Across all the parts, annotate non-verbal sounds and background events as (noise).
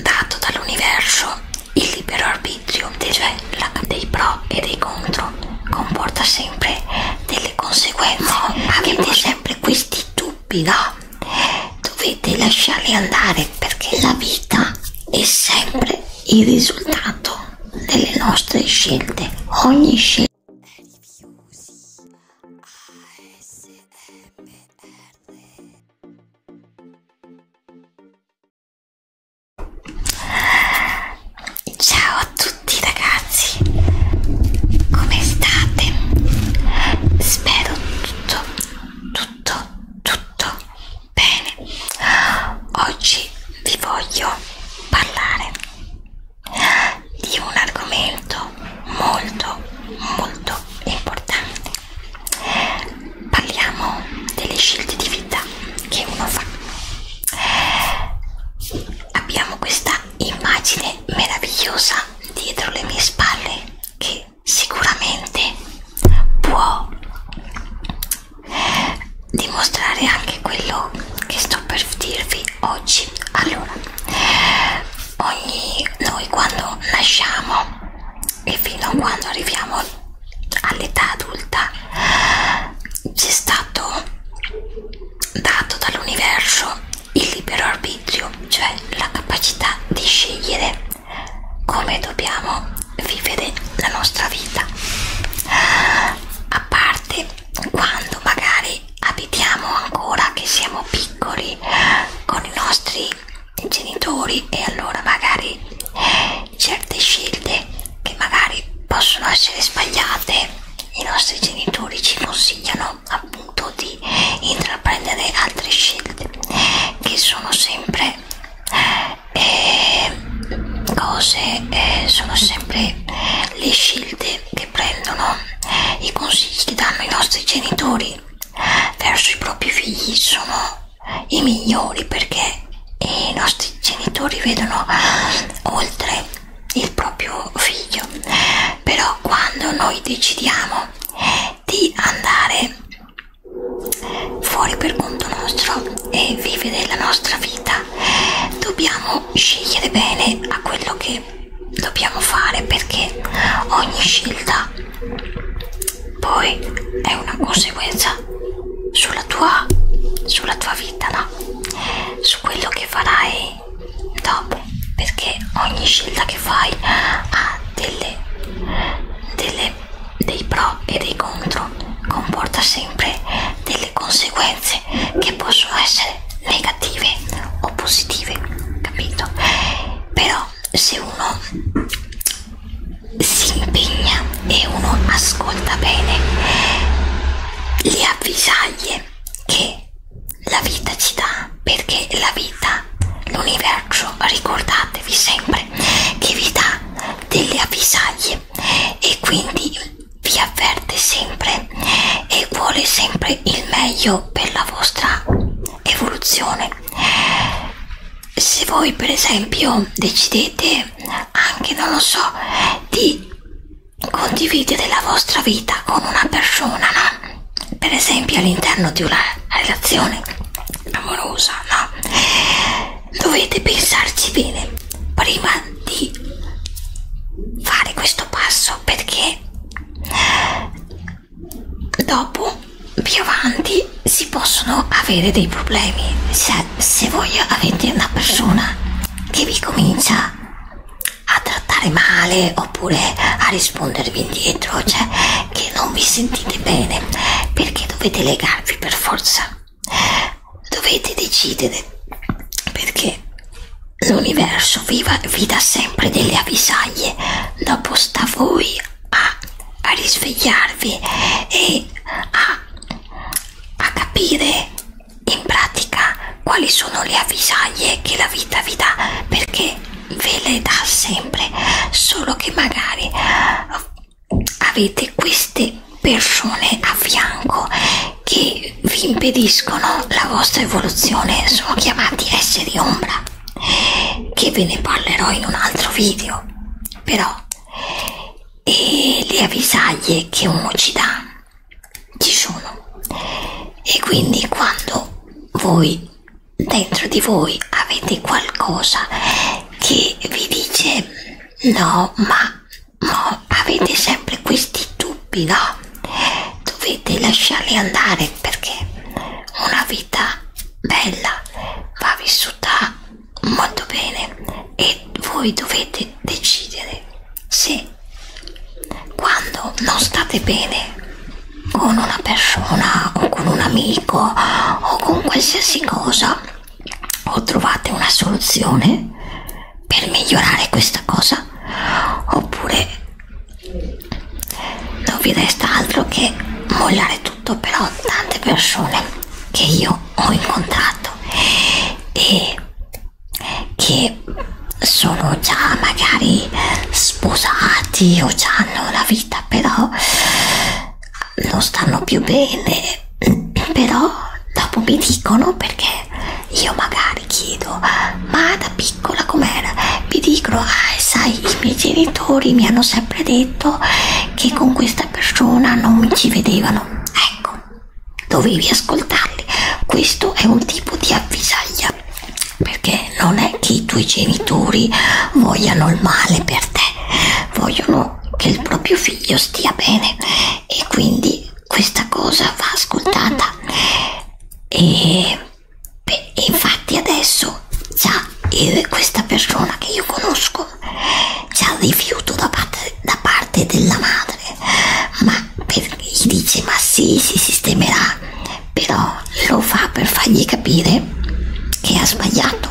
dato dall'universo il libero arbitrio, cioè la, dei pro e dei contro, comporta sempre delle conseguenze. No, avete sempre questi dubbi, no? Dovete lasciarli andare perché la vita è sempre il risultato delle nostre scelte. Ogni scelta. Ciao a tutti ragazzi, come state? Spero tutto, tutto, tutto bene. Oggi vi voglio parlare di un argomento molto, molto importante parliamo delle scelte di vita che uno fa abbiamo questa immagine meravigliosa dietro le mie spalle che sicuramente può dimostrare anche quello che sto per dirvi oggi allora ogni, noi quando nasciamo e fino a quando arriviamo all'età adulta ci è stato dato dall'universo il libero arbitrio, cioè la capacità di scegliere come dobbiamo vivere la nostra vita. A parte quando magari abitiamo ancora che siamo piccoli con i nostri genitori e allora magari eh, certe scelte che magari possono essere sbagliate i nostri genitori ci consigliano appunto di intraprendere altre scelte che sono sempre eh, cose eh, sono sempre le scelte che prendono eh, i consigli che danno i nostri genitori verso i propri figli sono i migliori perché i nostri genitori vedono oltre il proprio figlio però quando noi decidiamo di andare fuori per conto nostro e vivere la nostra vita dobbiamo scegliere bene a quello che dobbiamo fare perché ogni scelta poi è una conseguenza sulla tua, sulla tua vita, no? Su quello che farai dopo, perché ogni scelta che fai ha delle, delle, dei pro e dei contro, comporta sempre delle conseguenze che possono essere negative o positive, capito? Però se uno si impegna e uno ascolta bene le avvisaglie che la vita ci dà perché la vita l'universo ricordatevi sempre che vi dà delle avvisaglie e quindi vi avverte sempre e vuole sempre il meglio per la vostra evoluzione se voi per esempio decidete anche non lo so di condividere la vostra vita con una persona no? per esempio all'interno di una relazione amorosa no? dovete pensarci bene prima di fare questo passo perché dopo più avanti si possono avere dei problemi cioè, se voi avete una persona che vi comincia a trattare male oppure a rispondervi indietro cioè che non vi sentite bene perché dovete legarvi per forza dovete decidere perché L'universo viva, vi dà sempre delle avvisaglie, dopo sta a voi a, a risvegliarvi e a, a capire in pratica quali sono le avvisaglie che la vita vi dà, perché ve le dà sempre, solo che magari avete queste persone a fianco che vi impediscono la vostra evoluzione, sono chiamati esseri di ombra che ve ne parlerò in un altro video però e le avvisaglie che uno ci dà ci sono e quindi quando voi dentro di voi avete qualcosa che vi dice no ma, ma avete sempre questi dubbi no dovete lasciarli andare perché una vita bella va vissuta molto bene e voi dovete decidere se quando non state bene con una persona o con un amico o con qualsiasi cosa o trovate una soluzione per migliorare questa cosa oppure non vi resta altro che mollare tutto però tante persone che io ho incontrato e che sono già magari sposati o già hanno una vita però non stanno più bene (clears throat) però dopo mi dicono perché io magari chiedo ma da piccola com'era vi dicono ah sai i miei genitori mi hanno sempre detto che con questa persona non mi ci vedevano ecco dovevi ascoltarli questo è un tipo di avvisaglia perché non è che i tuoi genitori vogliano il male per te vogliono che il proprio figlio stia bene e quindi questa cosa va ascoltata e beh, infatti adesso già io, questa persona che io conosco già rifiuto da parte, da parte della madre ma per, gli dice ma sì si sistemerà però lo fa per fargli capire che ha sbagliato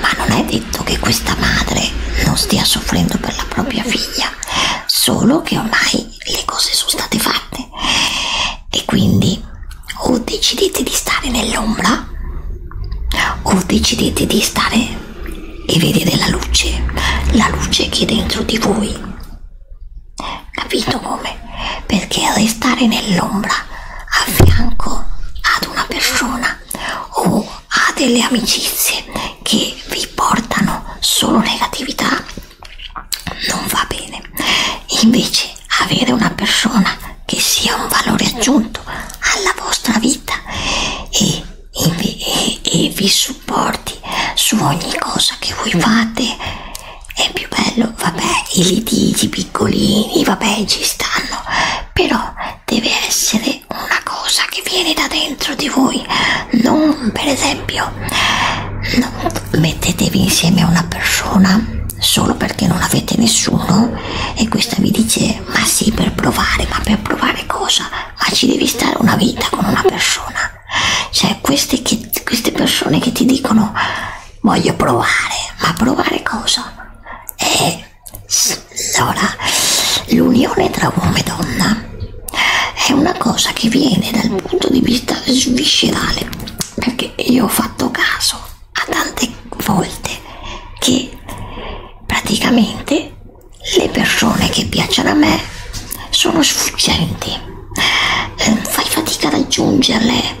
ma non è detto che questa madre non stia soffrendo per la propria figlia solo che ormai le cose sono state fatte e quindi o decidete di stare nell'ombra o decidete di stare e vedere la luce, la luce che è dentro di voi. Capito come? Perché restare nell'ombra a fianco ad una persona o a delle amicizie che vi portano solo negatività non va bene invece avere una persona che sia un valore aggiunto alla vostra vita e, e, e vi supporti su ogni cosa che voi fate è più bello vabbè i litigi piccolini vabbè ci stanno però deve essere una cosa che viene da dentro di voi non per esempio non mettetevi insieme a una persona solo perché non avete nessuno e questa vi dice ma sì per provare ma per provare cosa ma ci devi stare una vita con una persona cioè queste, che, queste persone che ti dicono voglio provare ma provare cosa e allora l'unione tra uomo e donna è una cosa che viene dal punto di vista viscerale perché io ho fatto caso a tante volte che praticamente le persone che piacciono a me sono sfuggenti eh, fai fatica a raggiungerle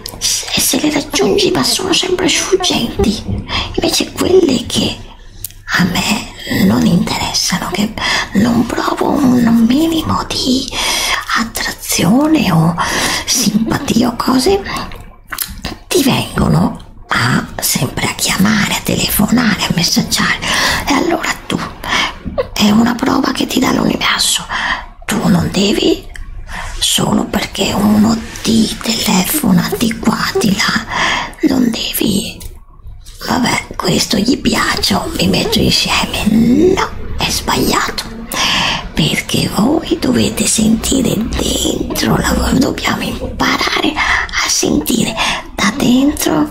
e se le raggiungi ma sono sempre sfuggenti invece quelle che a me non interessano, che non provo un minimo di attrazione o simpatia o cose, ti vengono a, sempre a chiamare, a telefonare, a messaggiare e allora tu è una prova che ti dà l'universo tu non devi solo perché uno ti telefona di qua di là non devi vabbè questo gli piaccio mi metto insieme no è sbagliato perché voi dovete sentire dentro la, dobbiamo imparare a sentire da dentro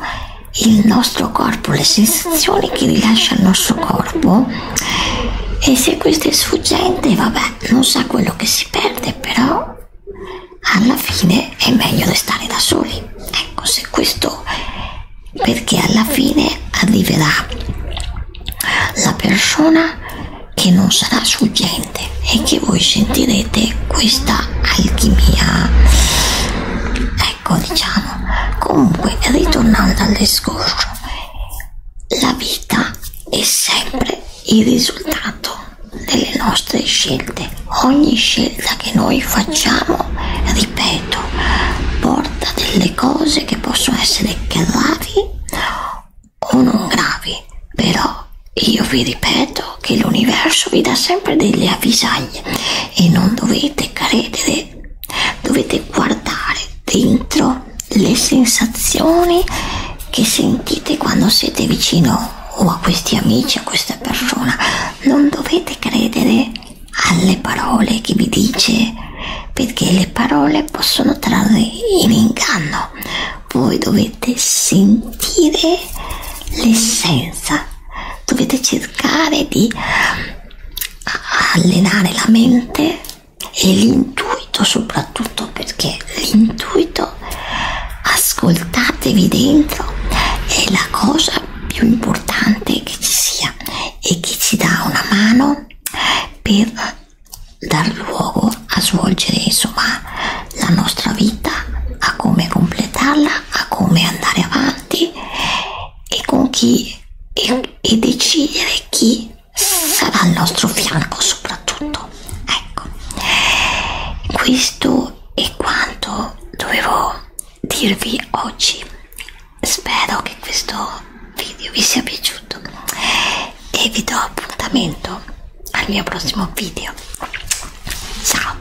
il nostro corpo le sensazioni che rilascia il nostro corpo e se questo è sfuggente vabbè non sa quello che si perde però alla fine è meglio restare da soli. Ecco, se questo perché alla fine arriverà la persona che non sarà sfuggente e che voi sentirete questa alchimia. Ecco, diciamo, comunque, ritornando all'escorcio, la vita è sempre il risultato delle nostre scelte. Ogni scelta che noi facciamo, ripeto, porta delle cose che possono essere gravi o non gravi, però io vi ripeto che l'universo vi dà sempre delle avvisaglie e non dovete credere, dovete guardare dentro le sensazioni che sentite quando siete vicino o a questi amici, a questa persona non dovete credere alle parole che vi dice perché le parole possono trarre in inganno voi dovete sentire l'essenza dovete cercare di allenare la mente e l'intuito soprattutto perché l'intuito dentro, ascoltatevi dentro, è la cosa più importante che ci sia e che ci dà una mano per dar luogo a svolgere insomma la nostra vita, a come completarla, a come andare avanti e con chi e, e decidere chi sarà al nostro fianco soprattutto ecco questo questo è quanto dovevo dirvi oggi spero che questo video vi sia piaciuto e vi do appuntamento al mio prossimo video ciao